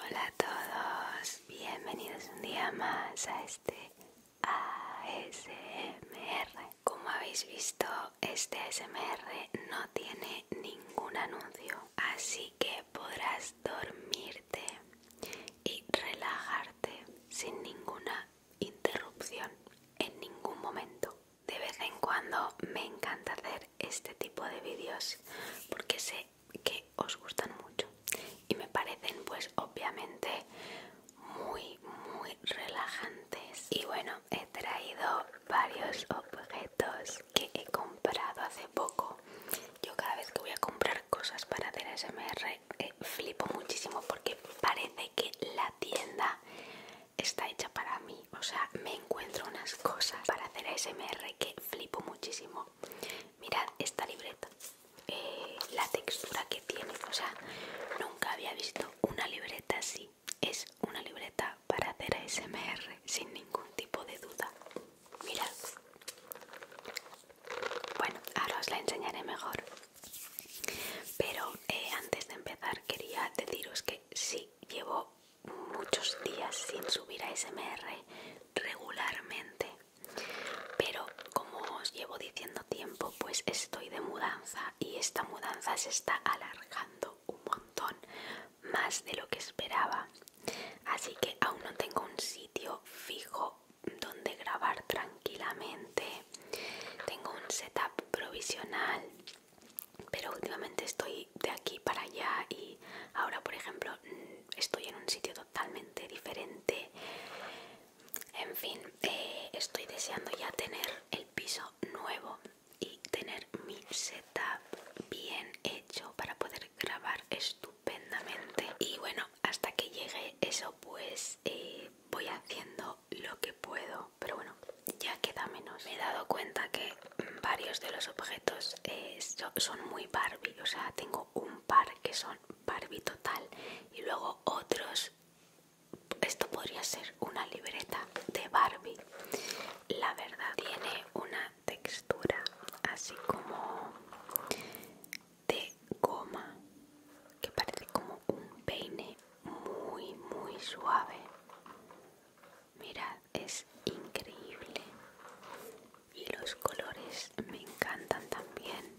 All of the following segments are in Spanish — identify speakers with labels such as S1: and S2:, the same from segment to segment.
S1: Hola a todos, bienvenidos un día más a este ASMR. Como habéis visto, este ASMR no tiene ningún anuncio, así que podrás dormirte y relajarte sin ninguna interrupción en ningún momento de vez en cuando me encanta hacer este tipo de vídeos porque sé que os gustan mucho y me parecen pues obviamente muy muy relajantes y bueno he traído varios objetos que he comprado hace poco yo cada vez que voy a comprar cosas para hacer SMR eh, flipo muchísimo porque parece que la tienda está hecha para mí. O sea, me encuentro unas cosas para hacer ASMR que flipo muchísimo. Mirad esta libreta, eh, la textura que tiene. O sea, nunca había visto una libreta así. Es una libreta para hacer ASMR sin ningún tipo de duda. Mirad. Bueno, ahora os la enseñaré mejor. Pero eh, antes de empezar quería deciros que sí, llevo muchos días sin subir a SMR regularmente. Pero como os llevo diciendo tiempo, pues estoy de mudanza y esta mudanza se está alargando un montón, más de lo que esperaba. Así que aún no tengo un sitio fijo donde grabar tranquilamente tengo un setup provisional, pero últimamente estoy de aquí para allá y ahora, por ejemplo, mm, estoy en un sitio totalmente diferente. En fin, eh, estoy deseando ya tener el piso nuevo y tener mi setup bien hecho para poder grabar estupendamente. Y bueno, hasta que llegue eso, pues eh, voy haciendo lo que puedo pero bueno, ya queda menos. Me he dado cuenta que varios de los objetos eh, son muy Barbie, o sea, tengo un par que son Barbie total y luego otros, esto podría ser una libreta de Barbie. La verdad, tiene una textura así como de goma que parece como un peine muy, muy suave. mira es increíble. Y los colores me encantan también.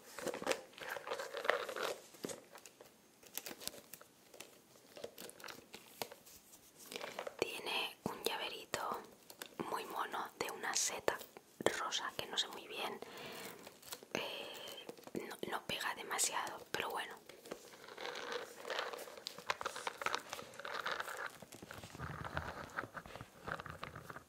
S1: Tiene un llaverito muy mono de una seta rosa que no sé muy bien. Eh, no pega demasiado, pero bueno.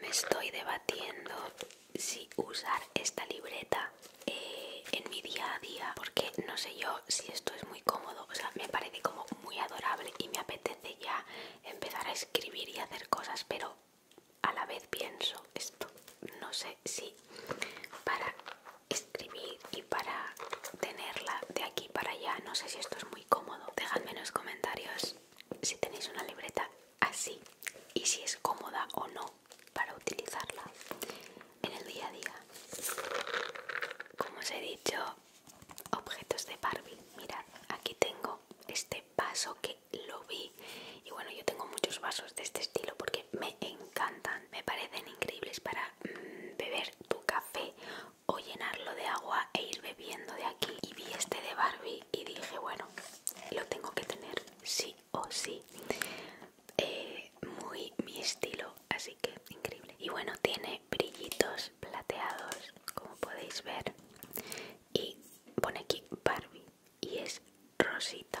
S1: Me estoy debatiendo si usar esta libreta eh, en mi día a día porque no sé yo si esto es muy cómodo, o sea, me parece como muy adorable y me apetece ya empezar a escribir y hacer cosas, pero a la vez pienso esto, no sé si para escribir y para tenerla de aquí y para allá. No sé si esto es muy cómodo. Dejadme en los comentarios si tenéis una libreta así y si es cómoda o no para utilizarla en el día a día. Como os he dicho, objetos de Barbie. Mirad, aquí tengo este vaso que lo vi. Y bueno, yo tengo muchos vasos de este estilo porque me encantan. Me parecen increíbles para mm, beber tu café o llenarlo de agua e ir bebiendo de aquí. Y vi este de Barbie y dije, bueno, lo tengo que tener sí o sí. Eh, muy mi estilo, así que increíble. Y bueno, tiene brillitos plateados, como podéis ver. Y pone aquí Barbie y es rosita.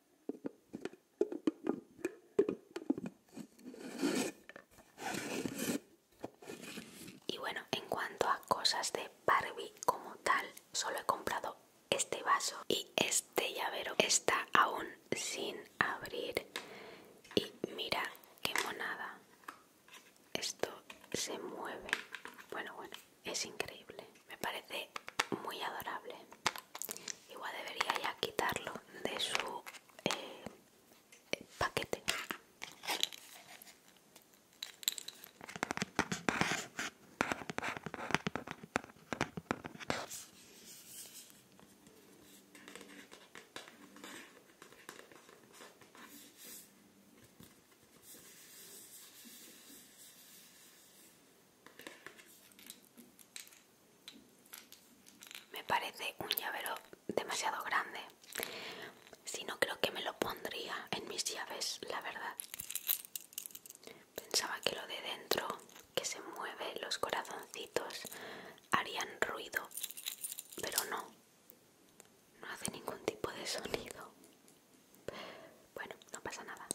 S1: Y bueno, en cuanto a cosas de Barbie como tal, solo he comprado este vaso y este llavero está aún sin abrir. Y mira qué monada. Esto se mueve. Bueno, bueno es increíble, me parece muy adorable. Igual debería ya quitarlo de su eh, paquete. Me parece un llavero demasiado grande. Si no, creo que me lo pondría en mis llaves, la verdad. Pensaba que lo de dentro, que se mueve, los corazoncitos, harían ruido, pero no. No hace ningún tipo de sonido. Bueno, no pasa nada.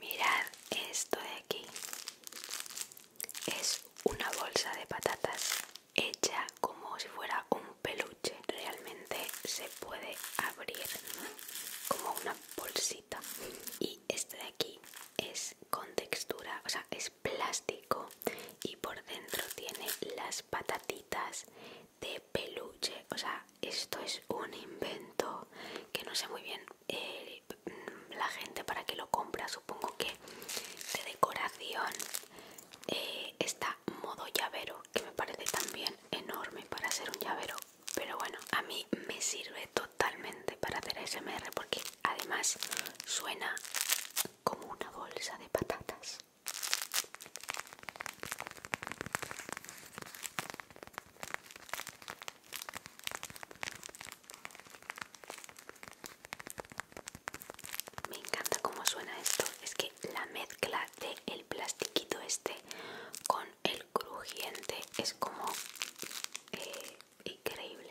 S1: Mirad esto de aquí. Es una bolsa de patatas hecha como si fuera un peluche. Realmente se puede abrir como una bolsita. Y este de aquí es con textura, o sea, es plástico y por dentro tiene las patatitas de peluche. O sea, esto es un invento que no sé muy bien. Eh, la gente para que lo compra supongo que de decoración eh, está modo llavero que me parece también enorme para ser un llavero pero bueno a mí me sirve totalmente para hacer smr porque además suena como una bolsa de patatas me encanta cómo suena esto. Es que la mezcla de el plastiquito este con el crujiente es como eh, increíble.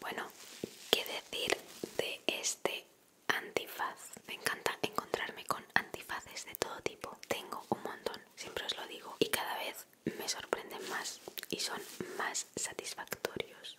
S1: Bueno, qué decir de esto este antifaz. Me encanta encontrarme con antifaces de todo tipo. Tengo un montón, siempre os lo digo, y cada vez me sorprenden más y son más satisfactorios.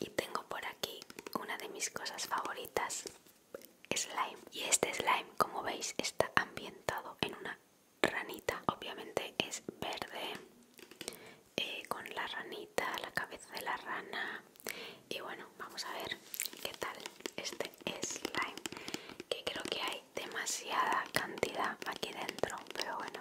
S1: y tengo por aquí una de mis cosas favoritas slime y este slime como veis está ambientado en una ranita obviamente es verde eh, con la ranita la cabeza de la rana y bueno vamos a ver qué tal este slime que creo que hay demasiada cantidad aquí dentro pero bueno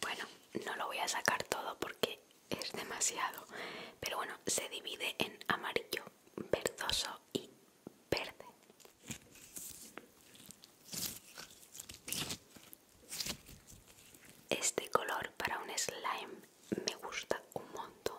S1: bueno, no lo voy a sacar todo porque es demasiado. Pero bueno, se divide en amarillo, verdoso y verde. Este color para un slime me gusta un montón.